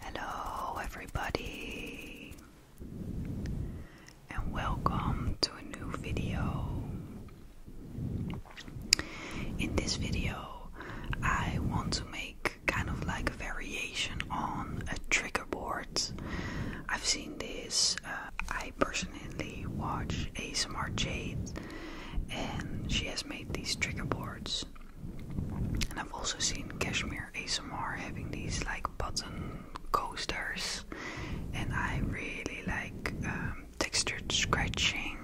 Hello, everybody, and welcome to a new video. In this video, I want to make kind of like a variation on a trigger board. I've seen this, uh, I personally watch ASMR Jade, and she has made these trigger boards. And I've also seen Cashmere ASMR having these like button coasters, and I really like um, textured scratching.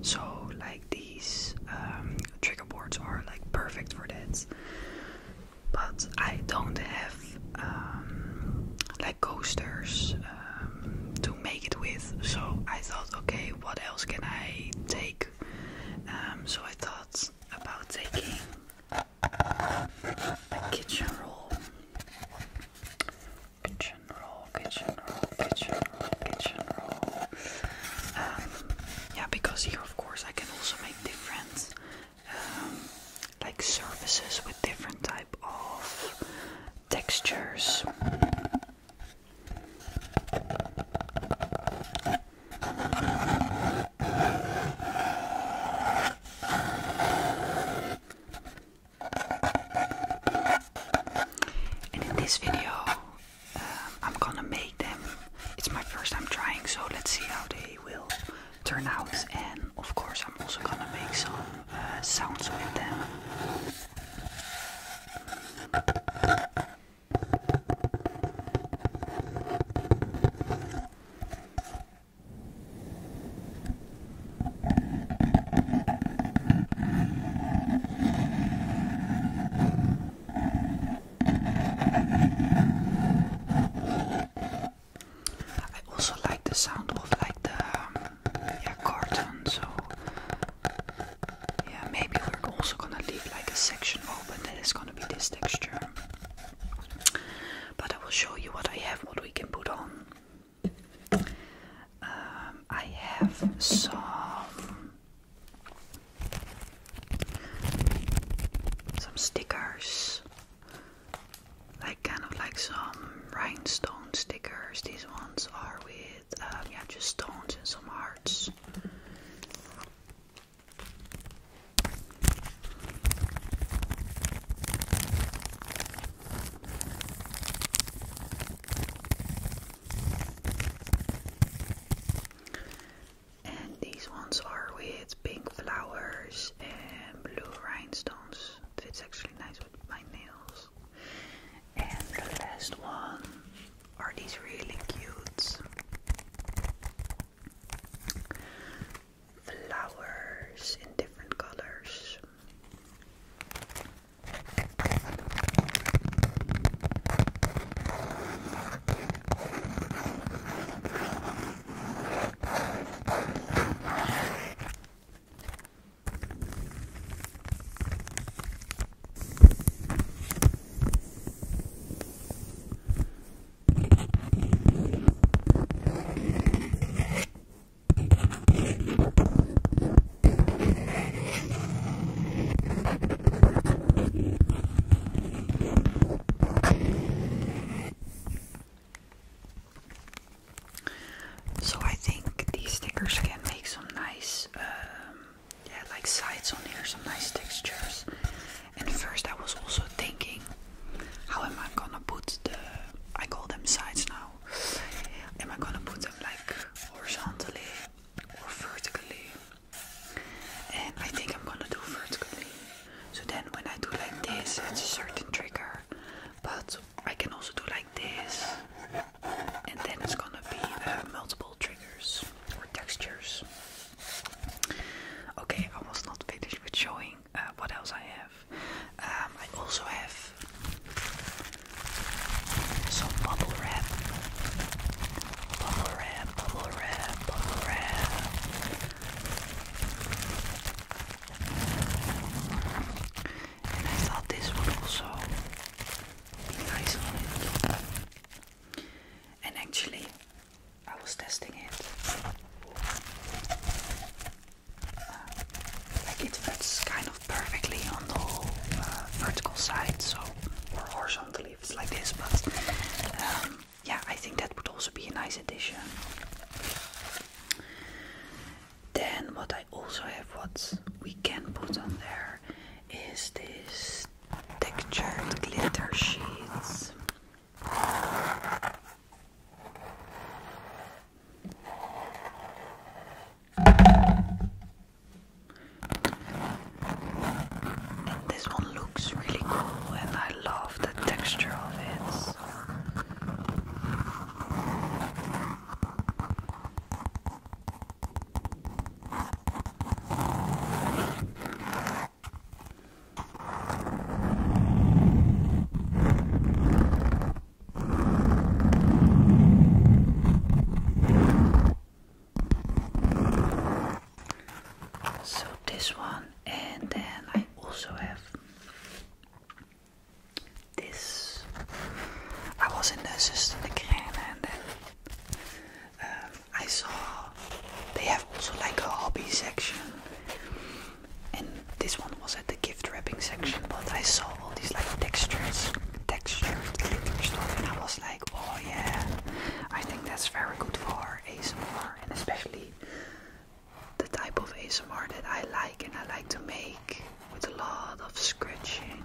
So like these um, trigger boards are like perfect for that. But I don't have um, like coasters um, to make it with, so I thought, okay, what else can I take? Um, so I thought about taking a kitchen roll. Kitchen roll, kitchen roll, kitchen roll, kitchen roll. Um, yeah, because here, of course, I can also make different um, like surfaces with different type of textures. And in this video, um, I'm gonna make them. It's my first time trying, so let's see how they will turn out. And of course, I'm also gonna make some uh, sounds with them. I also like the sound of like the um, carton, so yeah, maybe we're also gonna leave like a section open that is gonna be this texture. But I will show you what I have, what we can put on. Um, I have some some stickers, like kind of like some rhinestone stickers. These ones are weird. Um, just stones and some hearts. And these ones are with pink flowers and blue rhinestones. It fits actually nice with my nails. And the last one are these really cute flowers in different colors. So I think these stickers can make some nice um, yeah, like sides on here, some nice textures. And first, I was also thinking, how am I gonna put the? I call them sides now. Am I gonna put them like horizontally or vertically? And I think I'm gonna do vertically. So then, when I do like this, it's a certain trigger. But I can also do like this and then it's gonna be uh, multiple triggers or textures. Okay, I was not finished with showing uh, what else I have. Um, I also have some bubble wrap, bubble wrap, bubble wrap, bubble wrap. And I thought this would also be nice on it and actually I was testing it. Uh, like it fits kind of perfectly on the uh, vertical side, so or horizontally if it's like this, but um, yeah, I think that would also be a nice addition. Then what I also have, what we can put on there, is this textured glitter sheets. this one looks really cool, and I love the texture of it. So this one, and then I also have this. I was in the Sister de Crène and then um, I saw they have also like a hobby section, and this one was at the gift wrapping section. But I saw all these like textures, textured glitter stuff, and I was like, oh yeah, I think that's very good for ASMR, and especially the type of ASMR that I like and I like to make with a lot of scratching.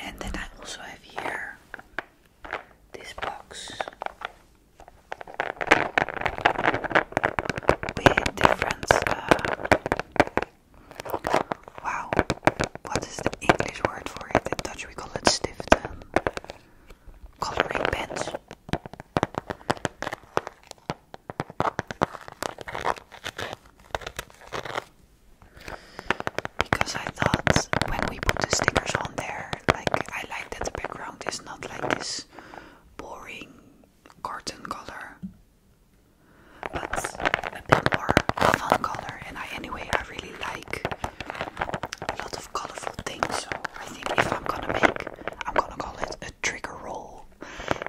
And then I also have here this box with different uh, Wow, what is the English word for it? In Dutch we call it stiften. Coloring pens. Because I thought when we put the stickers on there, like I like that the background is not like this boring carton color but a bit more fun color. And I, anyway, I really like a lot of colorful things. So I think if I'm gonna make, I'm gonna call it a trigger roll,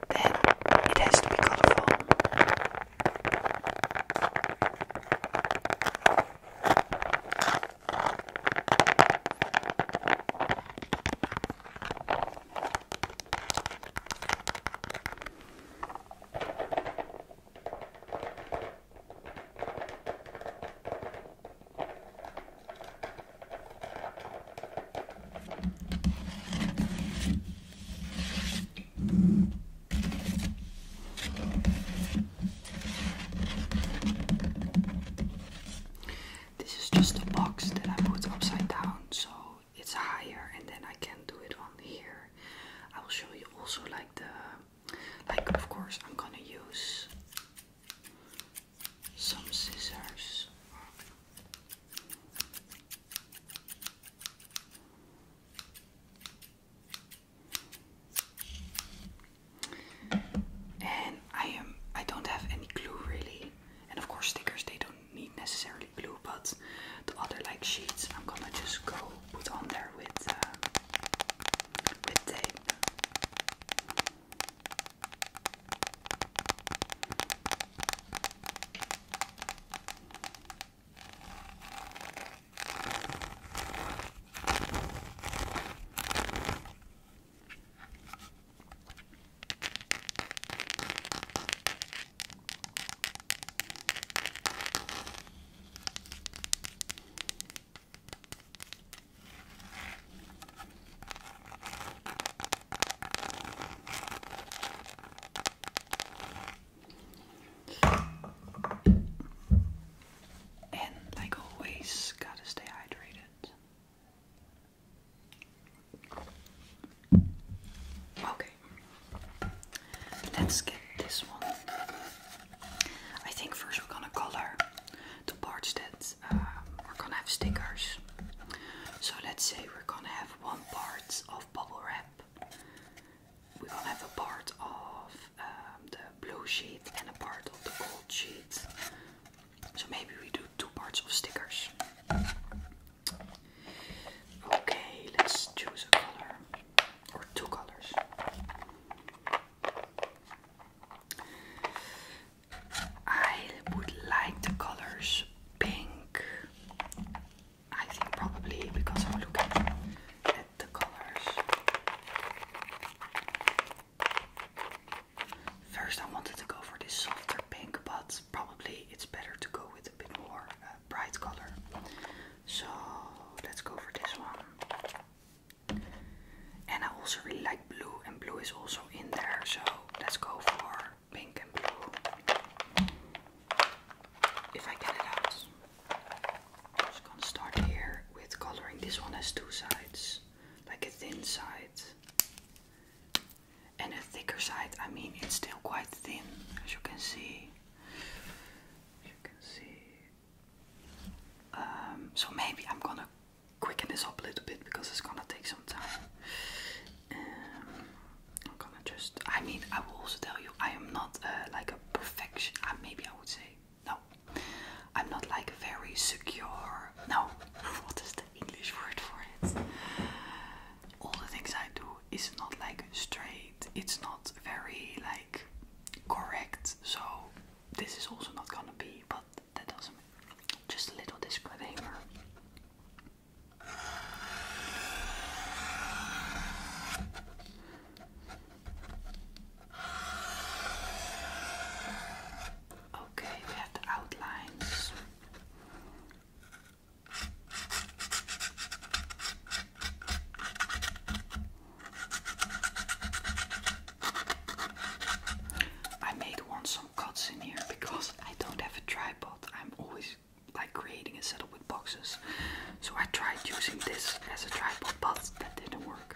then it has to be colorful. This is just a box that I put upside down so it's higher, and then I can do it on here I will show you also like the like of course I'm gonna use some scissors and I am I don't have any glue really and of course stickers they don't need necessarily glue but the other like sheets I'm gonna just go put on there with uh, with tape. And like always, gotta stay hydrated. Okay. Let's get this one. I think first we're gonna color the parts that um, we're gonna have stickers. So let's say we're gonna have one part of bubble wrap. We're gonna have a part of um, the blue sheet and a part of the gold sheet. So maybe we do two parts of stickers. Okay, let's choose a color or two colors. I would like the colors pink. I think probably because I'm looking at the colors. First, I wanted to go for this softer pink, but probably it's better to go with a bit more uh, bright color. So let's go for this one. And I also really like blue, and blue is also in there. So let's go for pink and blue. If I get it out, I'm just gonna start here with coloring. This one has two sides, like a thin side and a thicker side. I mean, it's still quite thin, as you can see. Um, so maybe I'm gonna quicken this up a little bit because it's gonna take some time. Um, I'm gonna just. I mean, I will also tell you, I am not uh, like a perfection. Uh, maybe I would say no. I'm not like very secure. No, what is the English word for it? All the things I do it's not like straight, it's not very like correct, so this is also not gonna be, but that doesn't just a little disclaimer. Okay, we have the outlines. I made once some cuts in here because I don't have a tripod. I'm always like creating a setup with boxes. So I tried using this as a tripod, but that didn't work.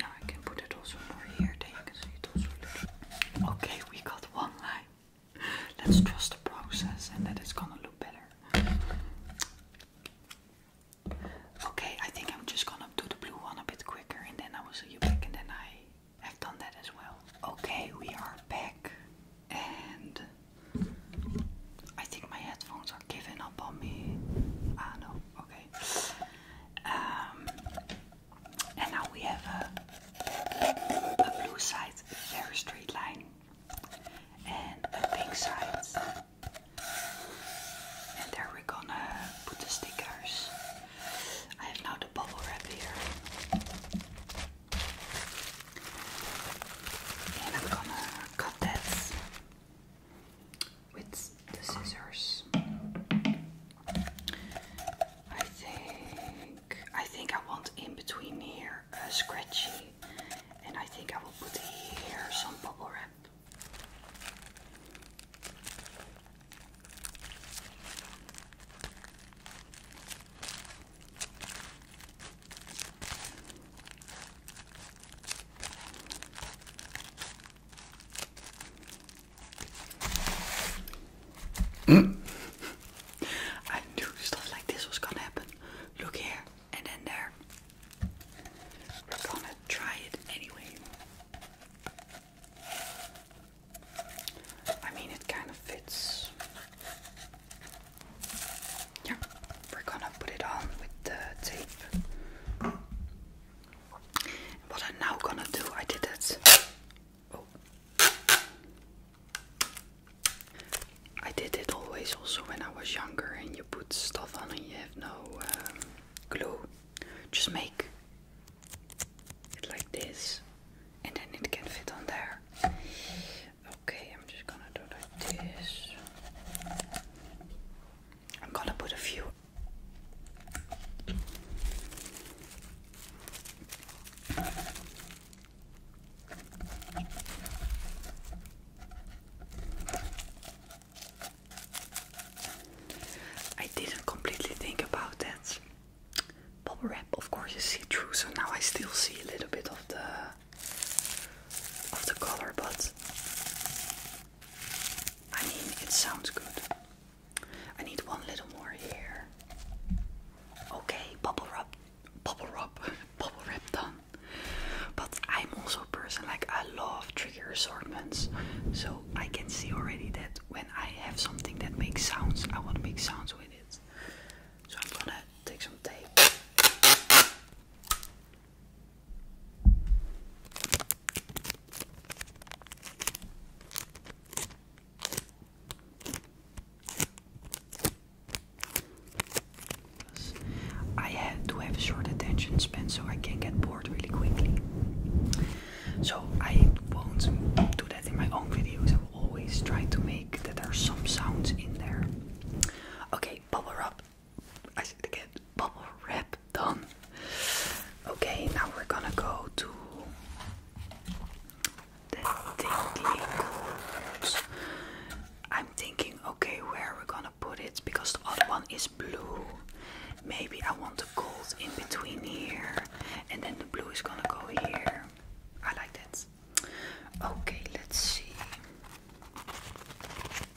Now I can put it also more here, then you can see it also a little. Okay, we got one line. Let's trust the process and that it's gonna look better. Okay, I think I'm just gonna do the blue one a bit quicker and then I will see you back and then I have done that as well. Okay, we are back and I think my headphones are giving up on me. Ah no okay. Um, and now we have a, a blue side, very straight line, and a pink side. And there we're gonna put the stickers. I have now the bubble wrap here. And I'm gonna cut that with the scissors. I think I think I want in between here a scratchy, and I think I will put here some bubble wrap. I knew stuff like this was gonna happen. Look here and then there. We're gonna try it anyway. I mean, it kind of fits. Yeah, we're gonna put it on with the tape. What I'm now gonna do, I did it. Oh. I did it always also when I was younger and you put stuff on and you have no glue. Um, just make it like this and then it can fit on there. Okay, I'm just gonna do like this. I'm gonna put a few. I didn't completely think about that. Bubble wrap, of course, is see-through, so now I still see a little bit of the of the color, but I mean, it sounds good. I need one little more here. Okay, bubble wrap, bubble wrap, bubble wrap done. But I'm also a person like I love trigger assortments, so I can see already that when I have something that makes sounds, I want to make sounds with it. So I'm gonna take some tape. I have to have a short attention span so I can get bored really quickly. So I won't do that in my own videos. I will always try to make that there are some sounds in there. Okay, bubble up. I said get bubble wrap done. Okay, now we're gonna go to the tingly golds. I'm thinking, okay, where we're we gonna put it because the other one is blue. Maybe I want the gold in between here, and then the blue is gonna go here. I like that. Okay, let's see.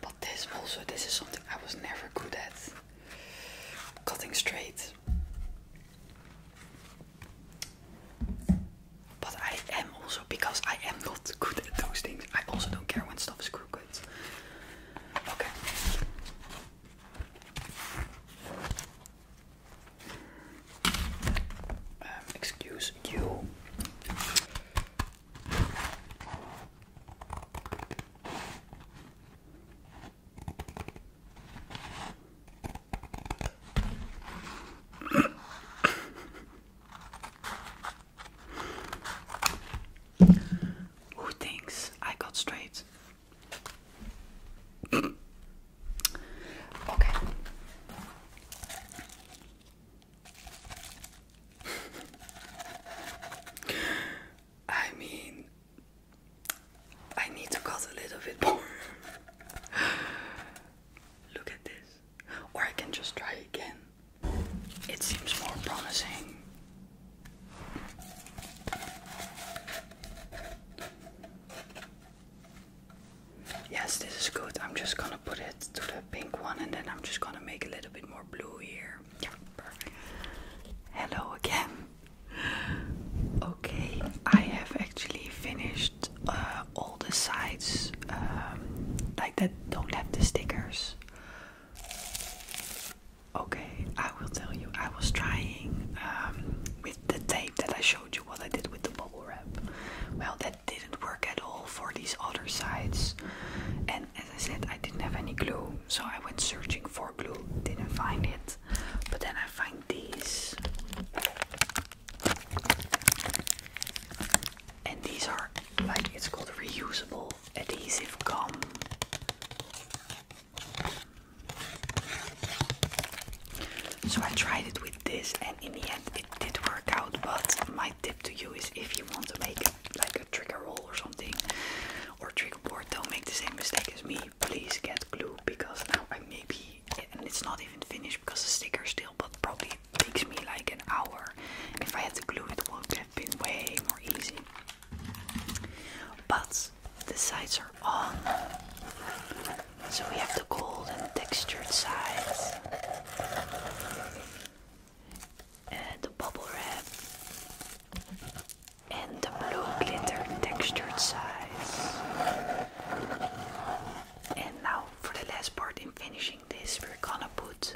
But this also, this is something I was never good at. Cutting straight. But I am also, because I am not good at those things, I also don't care when stuff is crooked. Okay. Um, excuse you. Who thinks I got straight? Okay. I mean, I need to cut a little bit more. Look at this. Or I can just try again. It seems more promising. Yes, this is good. I'm just gonna put it to the pink one and then I'm just gonna make a little bit more blue here. Yeah, perfect. Hello again. Okay, I have actually finished uh, all the sides um, like that don't have the stickers. Okay, I will tell you, I was trying um, with the tape that I showed you what I did with the bubble wrap. Well, that didn't work at all for these other sides. And as I said, I didn't have any glue, so I went searching for glue, didn't find it. But then I find these. And these are like it's called reusable adhesive gum. So I tried it with this and in the end it did work out but my tip to you is if you want to make like a trigger roll or something or trigger board don't make the same mistake as me please get glue because now I maybe and it's not even finished because the sticker still but probably takes me like an hour if I had to glue it would have been way more easy but the sides are on so we have the gold and textured sides and the bubble wrap and the blue glitter textured sides. And now for the last part in finishing this we're gonna put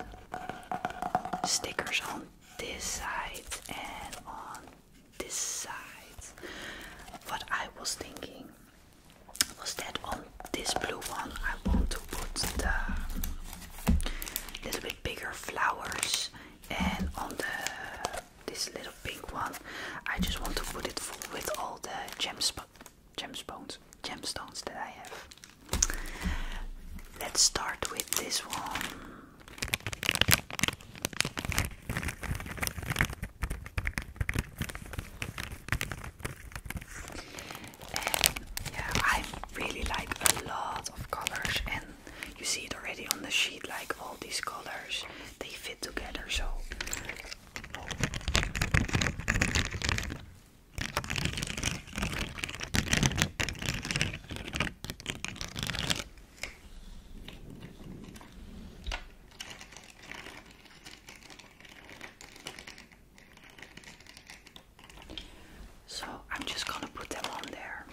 stickers on this side and on this side. What I was thinking was that on this blue one I want to put the little bit bigger flowers and on the this little pink one I just want to put it full with all the gemspo gemstones gemstones that I have. Let's start with this one. And yeah, I really like a lot of colors, and you see it already on the sheet. Like all these colors, they fit together. So. So I'm just going to put them on there.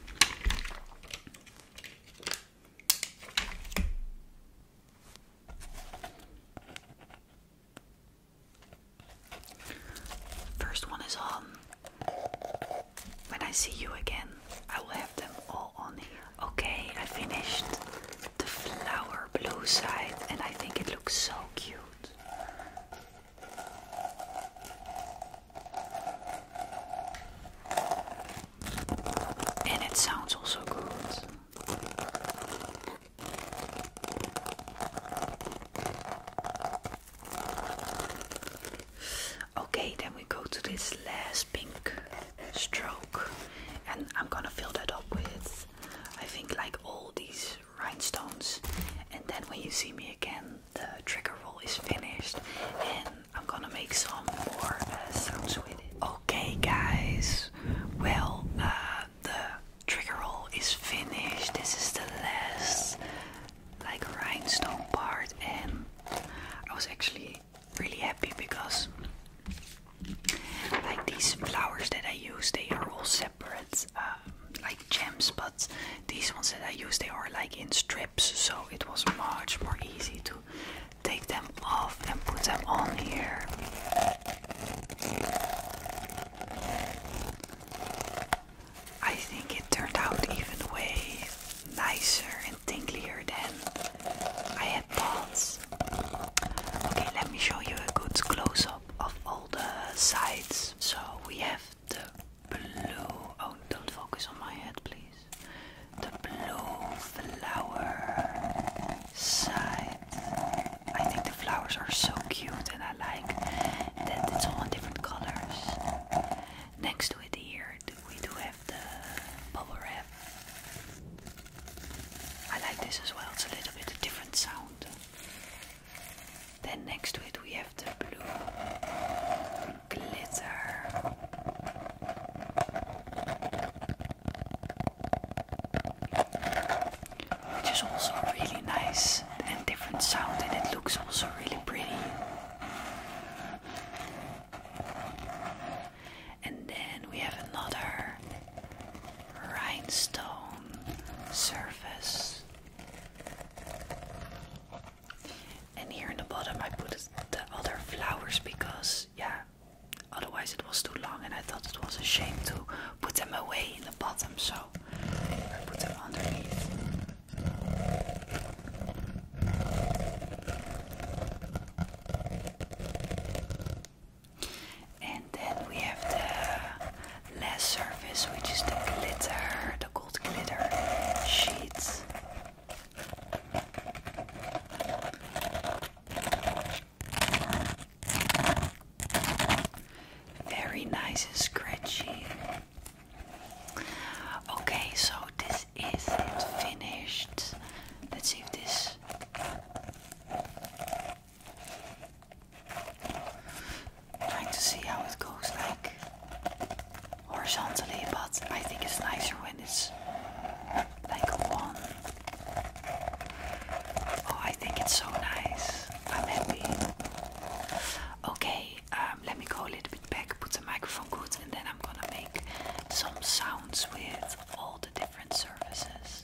First one is on. When I see you again, I will have them all on here. Okay, I finished the flower blue side and I think it looks so cute. And it sounds also good. Okay, then we go to this last pink stroke and I'm gonna fill that up with I think like all these rhinestones and then when you see me again the trigger roll is finished and I'm gonna make some more uh, sounds with it. Okay guys, well uh, the trigger roll is finished. This is the last like rhinestone part and I was actually really happy because like these flowers that I use they are all separate um, like gems but these ones that I use they are like in strips so it was much more easy to take them off and put them on here. I think it turned out even way nicer and tinklier than I had balls. Okay, let me show you a good close up of all the sides. So we have the blue. Oh, don't focus on my head, please. The blue flower side. I think the flowers are so cute and I like that it's all in different colors. Next to it, here we do have the bubble wrap. I like this as well, it's a little bit a different sound. Then next to it we have the blue glitter. Which is also really nice and different sound and it looks also really pretty and then we have another rhinestone surface. And here in the bottom, I put the other flowers because, yeah, otherwise it was too long, and I thought it was a shame to put them away in the bottom, so I put them underneath. And then we have the last surface, which is the glitter, the gold glitter sheets. Very nice and scratchy. Okay, so this that is it finished. Let's see if this. Trying to see how it goes like horizontally, but I think it's nicer when it's like a one. Oh, I think it's so nice. I'm happy. Okay, um, let me go a little bit back, put the microphone good, and then I'm gonna make some sounds with all the different services.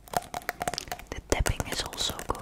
The tapping is also good.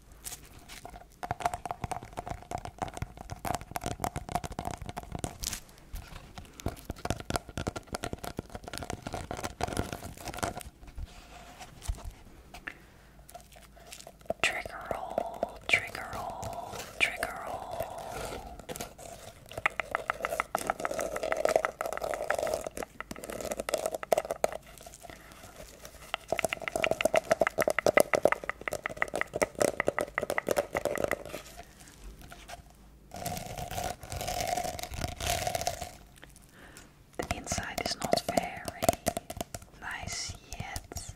Trigger roll, trigger roll, trigger roll. The inside is not very nice yet.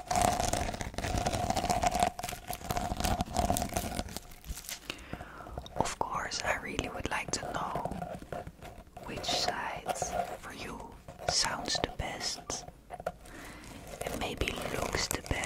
Of course, I really would like to know which side for you sounds the best and maybe looks the best.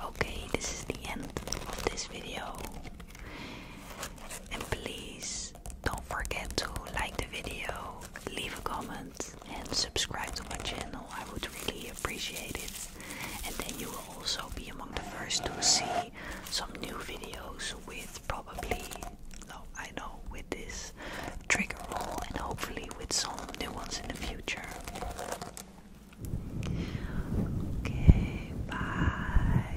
Okay, this is the end of this video. And please don't forget to like the video, leave a comment, and subscribe to my channel. I would really appreciate it. And then you will also be among the first to see some new videos with probably, no, I know, with this trigger roll and hopefully with some new ones in the future. Okay, bye.